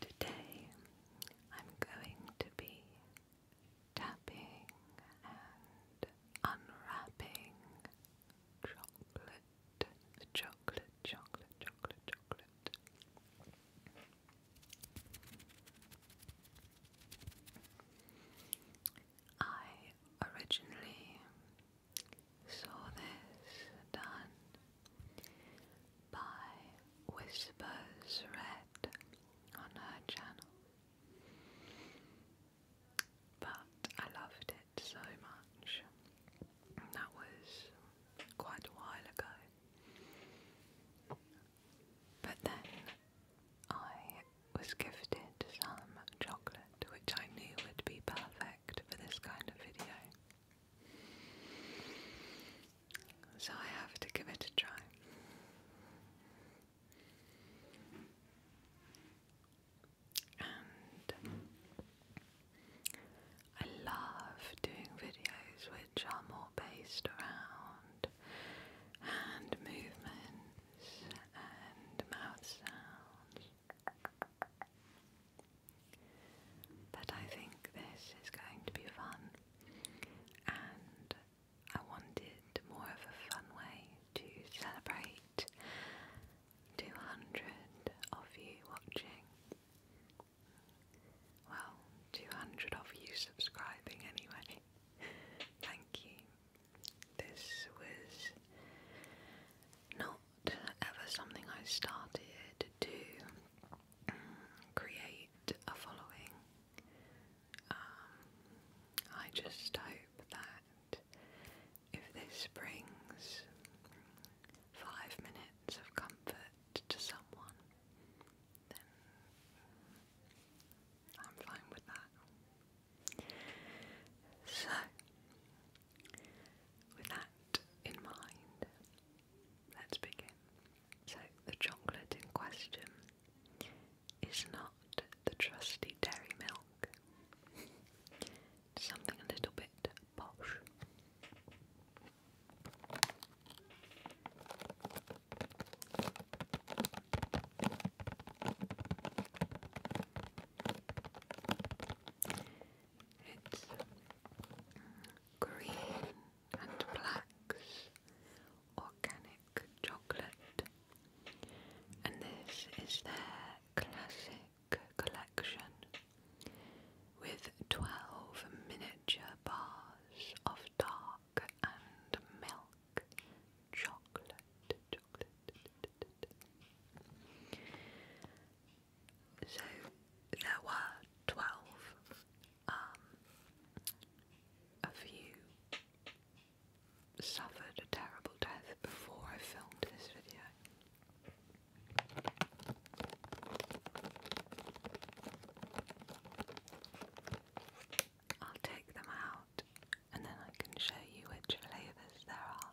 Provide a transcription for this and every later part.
Today I'm going to be tapping and unwrapping chocolate chocolate, chocolate, chocolate, chocolate. I originally saw this done by Whispers Red on her channel, but I loved it so much. That was quite a while ago. But then I was gifted some chocolate, which I knew would be perfect for this kind of video. So I have to give it a try and I love doing videos which are more based around hand movements and mouth sounds. But I think this is going to be fun, and I wanted more of a fun way to celebrate 200 of you watching. Well, 200 of you subscribing anyway. Thank you. This was not ever something I started to mm, create a following. Um, I just hope that if this brings five minutes of comfort to someone, then I'm fine with that. So, with that in mind, let's begin. So, the chocolate in question is not got the trusty dairy milk. Something a little bit posh. It's uh, green and black's organic chocolate, and this is their classic collection with 12 miniature bars of dark and milk chocolate. So there were 12. Um, a suffered a terrible death before I filmed this video. I'll take them out and then I can show you which flavours there are.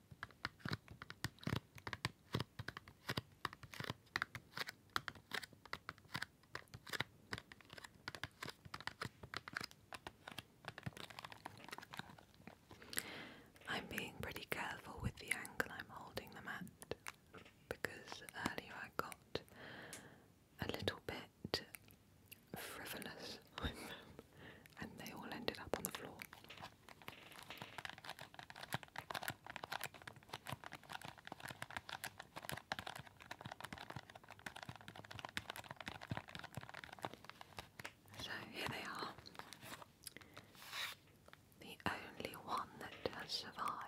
I'm being pretty careful with the angle I'm holding them at because earlier I got a little bit frivolous and they all ended up on the floor. So here they are. The only one that has survived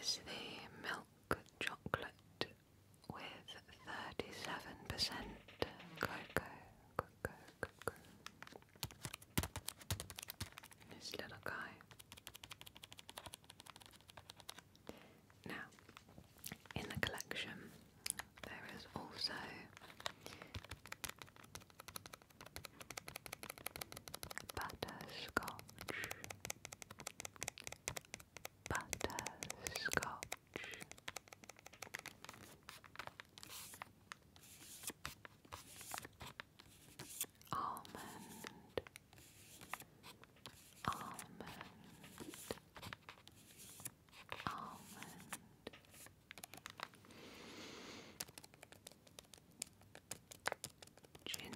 is the milk chocolate with 37% cocoa, This little guy. Now, in the collection, there is also butterscotch, butterscotch. Almond, almond, almond. Ginger,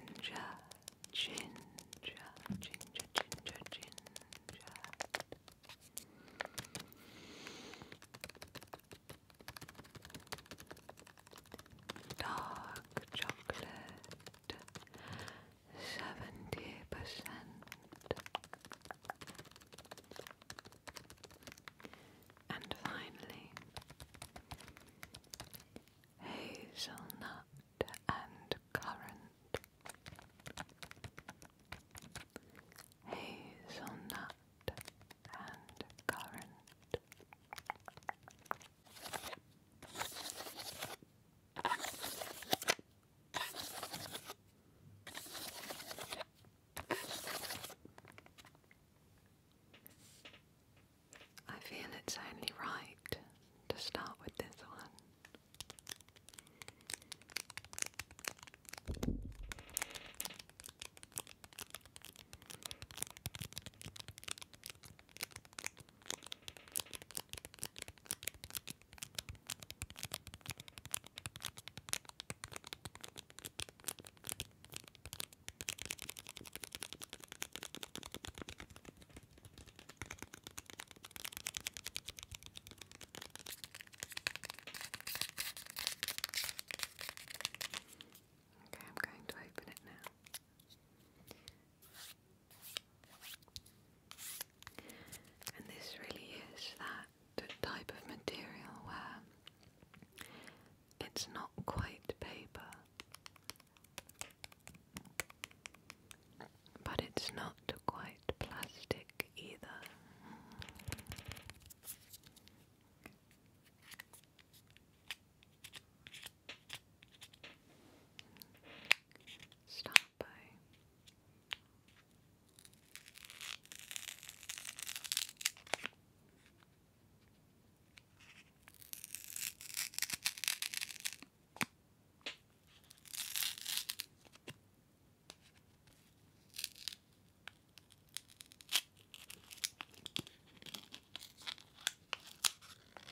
ginger, ginger, ginger, ginger. Dark chocolate, seventy percent. And finally, hazelnut and currant, hazelnut and currant. I feel it's only right to start with this one. Okay, I'm going to open it now. And this really is that type of material where it's not quite paper, but it's not quite plastic either. Stop by.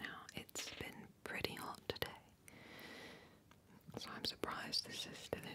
Now, it's been pretty hot today, so I'm surprised this is still intact.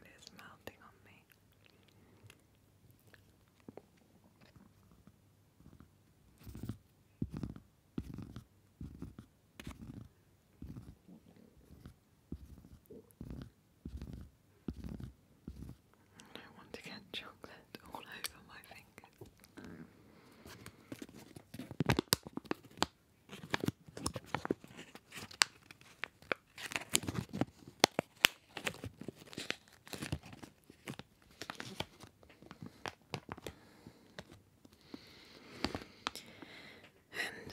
It is melting on me. I want to get chocolate all over my fingers. And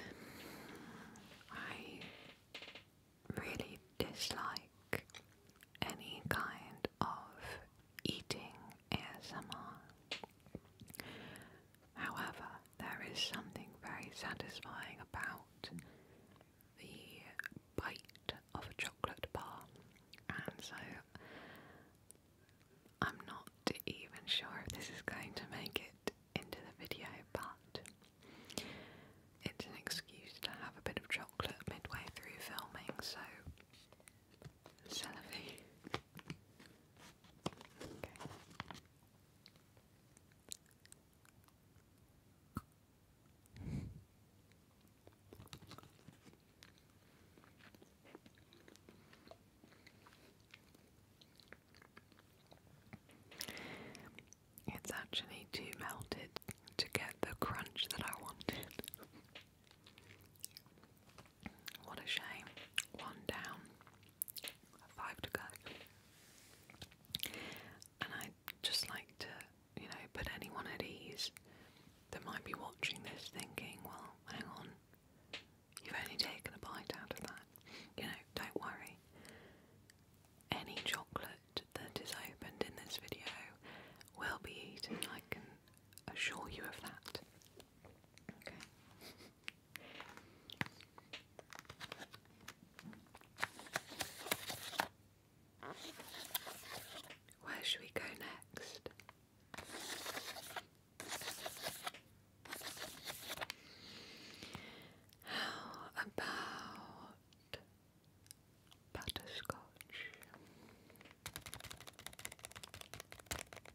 I really dislike any kind of eating ASMR. However, there is something very satisfying about the bite of a chocolate bar, and so I'm not even sure if this is going to make it into the video, but it's an excuse to have a bit of chocolate midway through filming, so Celery. It's actually too melted to get the crunch that I wanted. What a shame. One down five to go. And i just like to, you know, put anyone at ease that might be watching this thinking, well, hang on, you've only taken a bite out of that. You know, don't worry. Any chocolate that is opened in this video will be eaten, I can assure you of that. Where should we go next? How about butterscotch?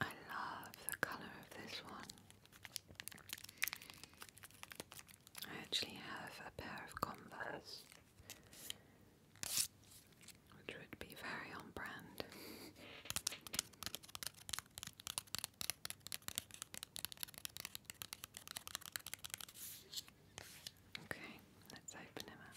I love the colour of this one. I actually have a pair of Converse, which would be very on brand. Okay, let's open him up.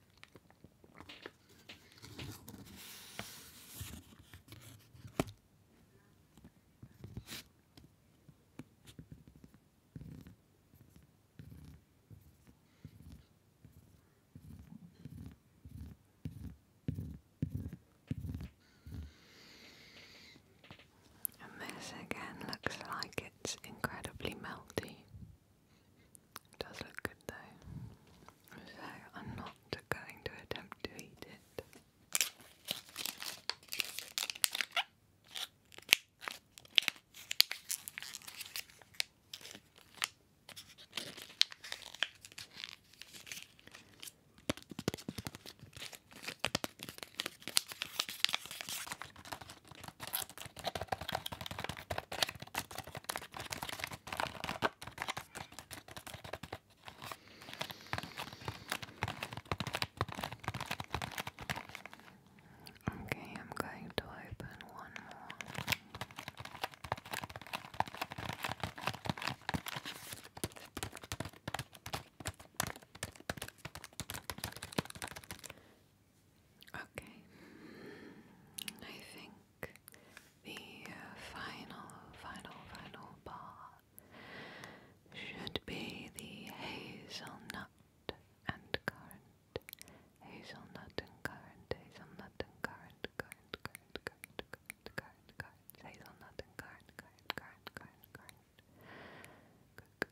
And this again looks like it's incredibly melty does look good though. So I'm not going to attempt to eat it. Okay, I'm going to open one more. Okay, I think the uh, final, final, final bar should be the hazelnut and currant. Hazelnut and currant, hazelnut and currant, currant, currant, currant, currant, currant, currant, hazelnut and currant, currant, currant, currant, currant.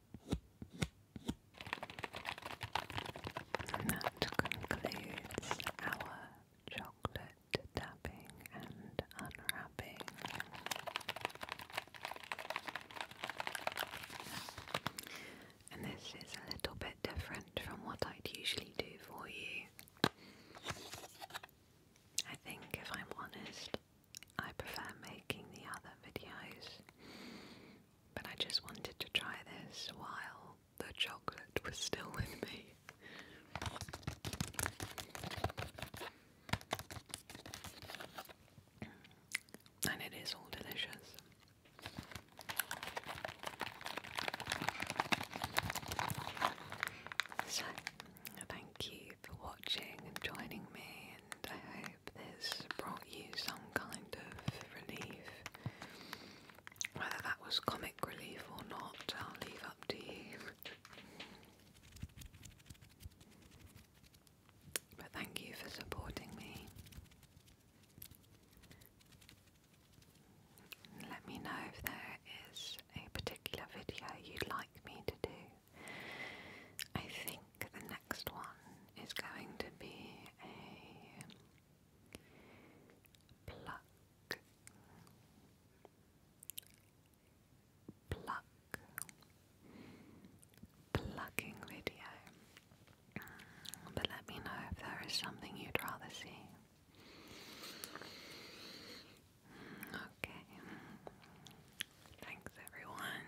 And that concludes our chocolate tapping and unwrapping. And this is a little bit different from what I'd usually do for you. I think, if I'm honest, I prefer making the other videos but I just wanted to try this while the chocolate was still with me. And it is all delicious. So, thank you for watching and joining me I hope this brought you some kind of relief. Whether that was comic relief or not, I'll leave up to you. But thank you for supporting me. Let me know if there is a particular video you'd like me to do. I think the next one is going to be a pluck, pluck, plucking video. But let me know if there is something you'd rather see. Okay. Thanks, everyone.